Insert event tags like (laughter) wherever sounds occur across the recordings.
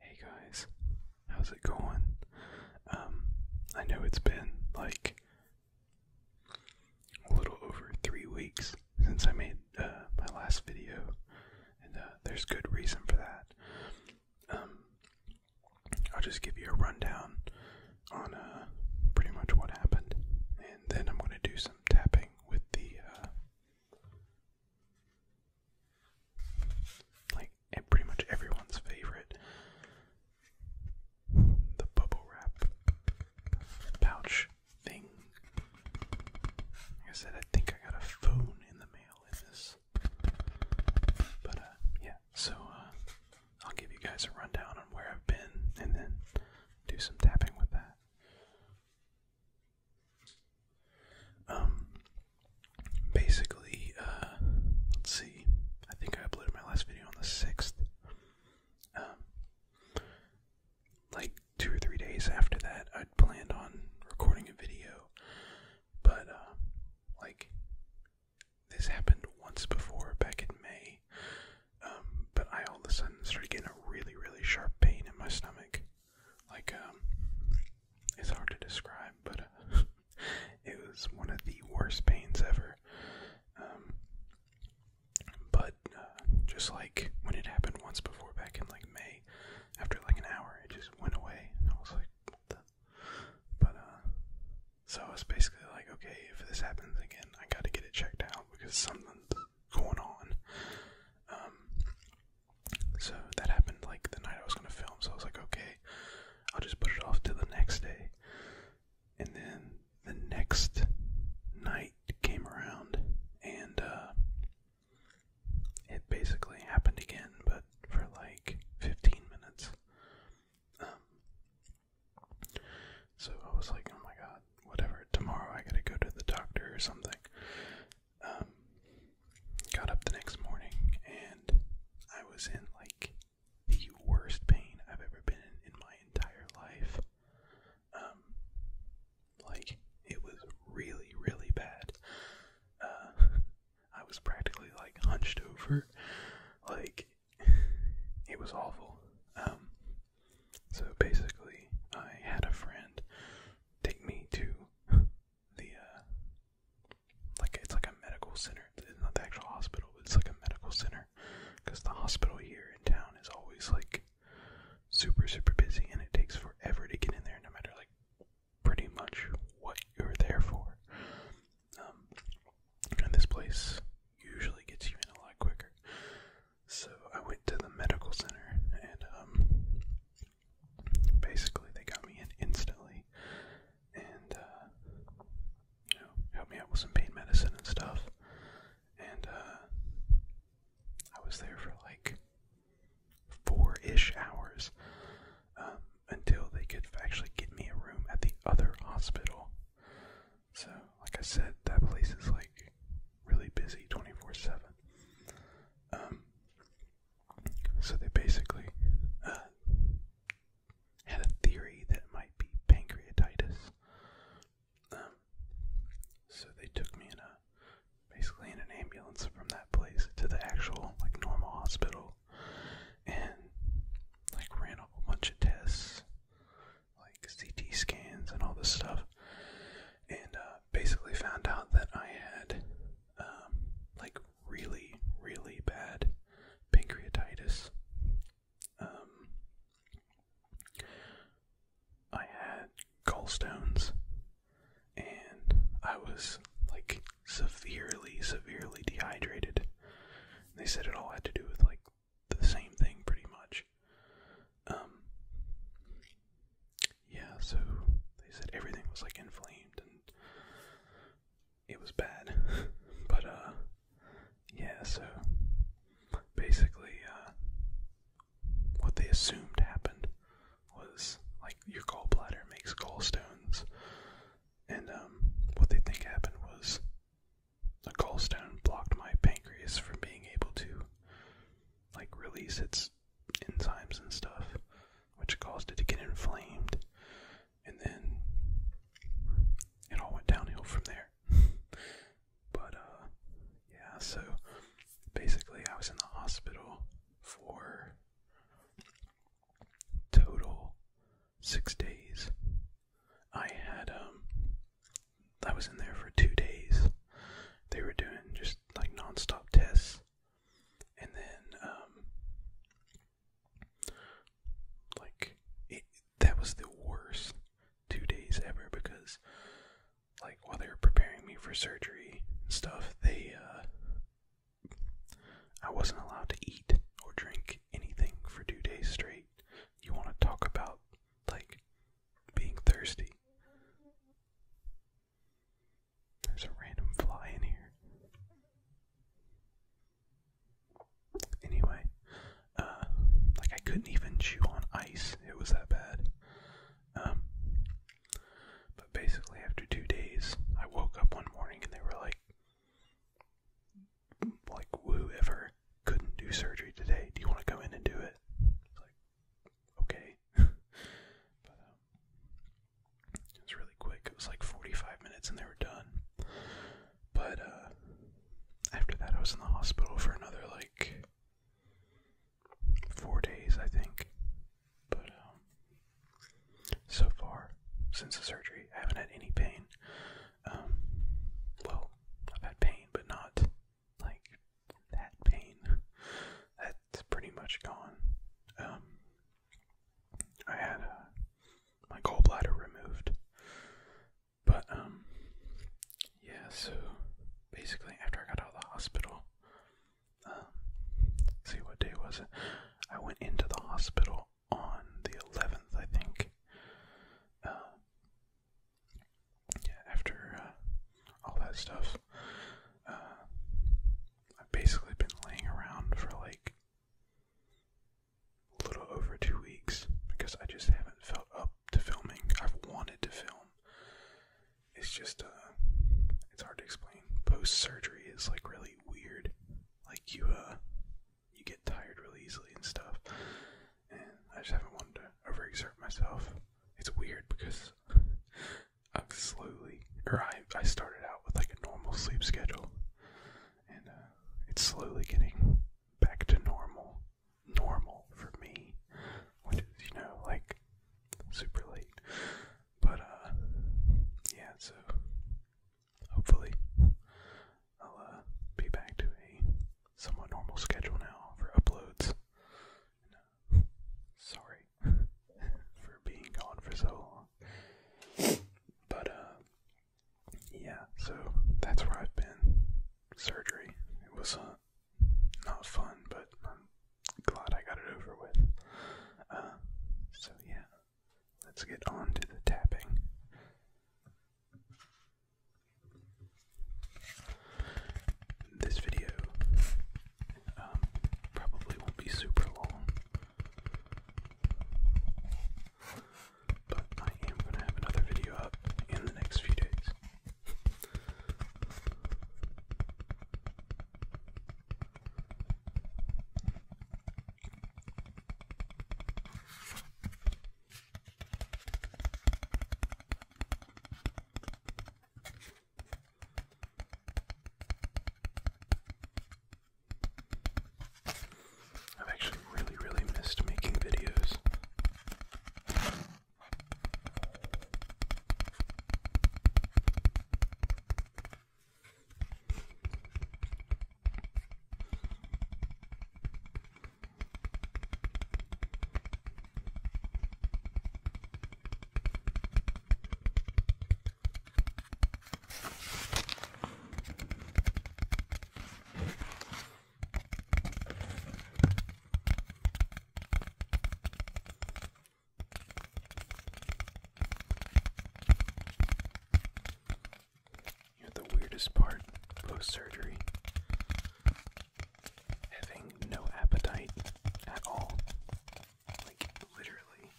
Hey guys, how's it going? Um, I know it's been like a little over three weeks since I made uh, my last video, and uh, there's good reason for that. Um, I'll just give you a rundown on uh, pretty much what happened, and then I'm going to do some tapping with the uh, like pretty much everyone's favorite. The bubble wrap pouch thing. I said, I think I got a phone in the mail in this. But uh yeah, so uh I'll give you guys a rundown on where I've been and then do some tapping with that. Um, basically, uh, let's see. I think I uploaded my last video on the sixth. Um, like two or three days after that, I'd planned on recording a video, but uh, like this happened once before back in May. Um, but I all of a sudden started getting a really, really sharp pain in my stomach like um, it's hard to describe but uh, (laughs) it was one of the worst pains ever um, but uh, just like when it happened once before back in like May after like an hour it just went away and I was like but uh so it's basically like okay if this happens again I got to get it checked out because something's going on um, so that happened like the night I was gonna film, so I was like, okay, I'll just put it off till the next day. And then the next night came around and uh it basically happened again, but for like 15 minutes. Um, so I was like, oh my god, whatever, tomorrow I gotta go to the doctor or something. Um, got up the next morning and I was in like the worst pain I've ever been in in my entire life. Um, like it was really, really bad. Uh, I was practically like hunched over, like it was awful. Um, so basically, I had a friend take me to the uh like it's like a medical center. It's not the actual hospital, but it's like a medical center because the hospital here in town is always like super super busy and it takes forever to get in there no matter like pretty much what you're there for. Um and this place usually gets you in a lot quicker. So I went to the medical center and um basically they got me in instantly and uh, you know, helped me out with some pain medicine and stuff. And uh, I was there for like four-ish hours um, until they could actually get me a room at the other hospital. So, like I said, that place is like really busy 24/7. So they basically uh, had a theory that it might be pancreatitis. Um, so they took me in a basically in an ambulance from that place to the actual like normal hospital and like ran a bunch of tests like CT scans and all this stuff and uh, basically found out that I had um, like really, really bad pancreatitis. Um, I had gallstones, and I was like severely, severely dehydrated. they said it all had to do with like the same thing, pretty much. Um, yeah, so they said everything was like inflamed and it was bad. (laughs) but uh yeah, so basically uh what they assumed happened was like your gallbladder makes gallstones and um what they think happened was a gallstone blocked my pancreas from being able to like release its enzymes and stuff which caused it to get inflamed, and then it all went downhill from there. (laughs) but, uh, yeah, so basically, I was in the hospital for total six days. I had, um, I was in there for two days. They were doing just like non stop tests and then um, like that was the worst two days ever because like while they were preparing me for surgery stuff they uh I wasn't allowed to eat or drink anything for two days straight. You want to talk about like being thirsty. There's a random fly in here. Anyway, uh, like I couldn't even chew on ice. It was that bad. Um, but basically, after two days, I woke up one morning and they were like, like whoever couldn't do surgery today, do you want to go in and do it? like, okay. (laughs) Um, it was really quick. It was like 45 minutes and they were done. But uh, after that, I was in the hospital for another like four days, I think. But um, so far, since the surgery, I haven't had any pain. Um, well, I've had pain, but not like that pain. (laughs) that's pretty much gone. Um, I had uh, my gallbladder removed, but um, yeah. So basically, after I got out of the hospital, um, see what day was it? I went into the hospital on the eleventh, I think. yeah, after uh, all that stuff, uh, I've basically been laying around for like a little over two weeks because I just haven't felt up to filming. I've wanted to film. It's just uh it's hard to explain. Post surgery is like really weird. Like you uh you get tired really easily and stuff. And I just haven't wanted to overexert myself. It's weird because I'm slowly, or I, I started out with like a normal sleep schedule, and uh, it's slowly getting back to normal, normal for me, which is, you know, like super late. But, uh, yeah, so hopefully I'll uh, be back to a somewhat normal schedule now for uploads. Sorry (laughs) for being gone for so long. But, uh, yeah, so that's where I've been. Surgery. It was uh, not fun, but I'm glad I got it over with. Uh, so, yeah, let's get on to the tapping. This video um, probably won't be super long. But I am going to have another video up in the next few days. I've actually really, really missed making videos. You are the weirdest part post surgery? Having no appetite at all. Like literally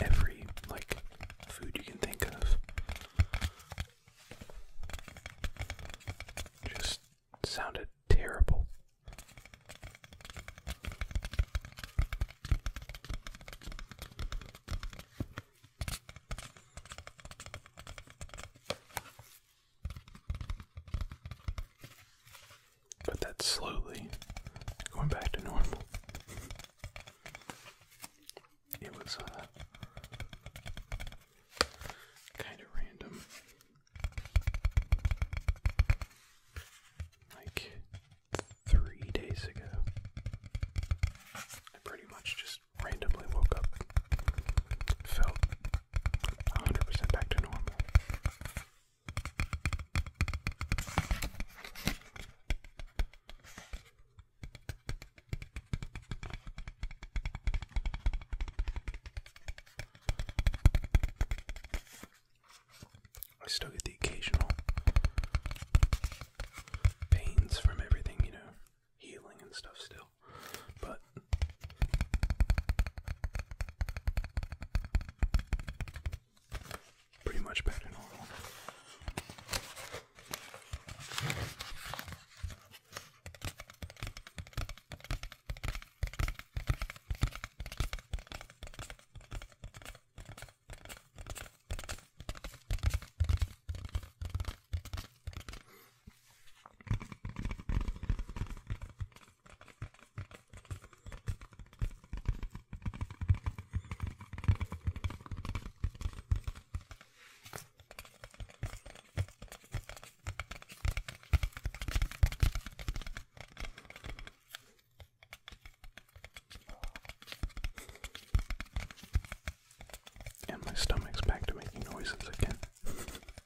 every like food you can think of. Just sounded terrible. But that's slowly going back to normal. It was uh, kind of random. Like three days ago, I pretty much just randomly woke up, felt 100% back to normal. I still get the occasional pains from everything, you know, healing and stuff still, but Pretty much back to normal. And my stomach's back to making noises again. (laughs)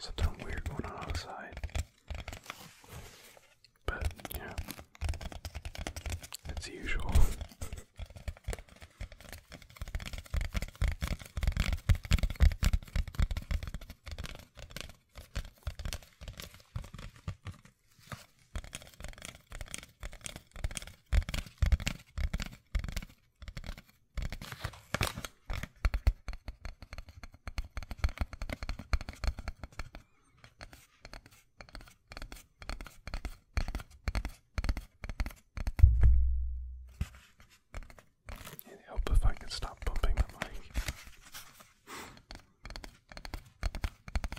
Something weird going on outside. But yeah. It's usual. It'd help if I could stop bumping the mic.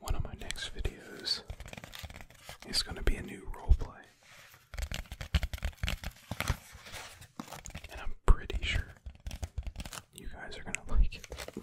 One of my next videos is going to be a new roleplay. And I'm pretty sure you guys are going to like it. (laughs)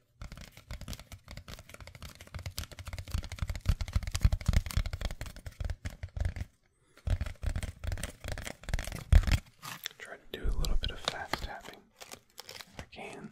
Try to do a little bit of fast tapping if I can.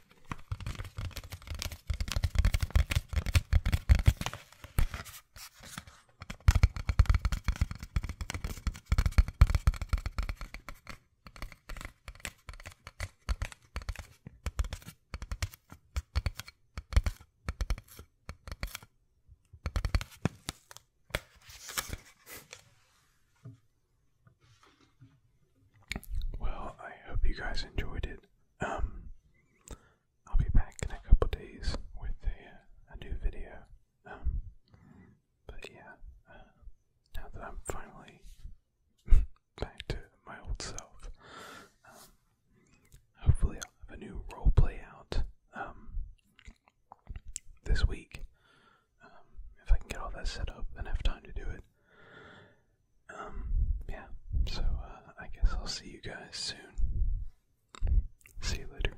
Well, I hope you guys enjoyed it. Um, I'll be back in a couple days with a, new video. Um, but yeah, uh, now that I'm finally (laughs) back to my old self, um, hopefully i have a new role play out um, this week. if I can get all that set up and have time to do it. Um, yeah, so uh, I guess I'll see you guys soon. See you later.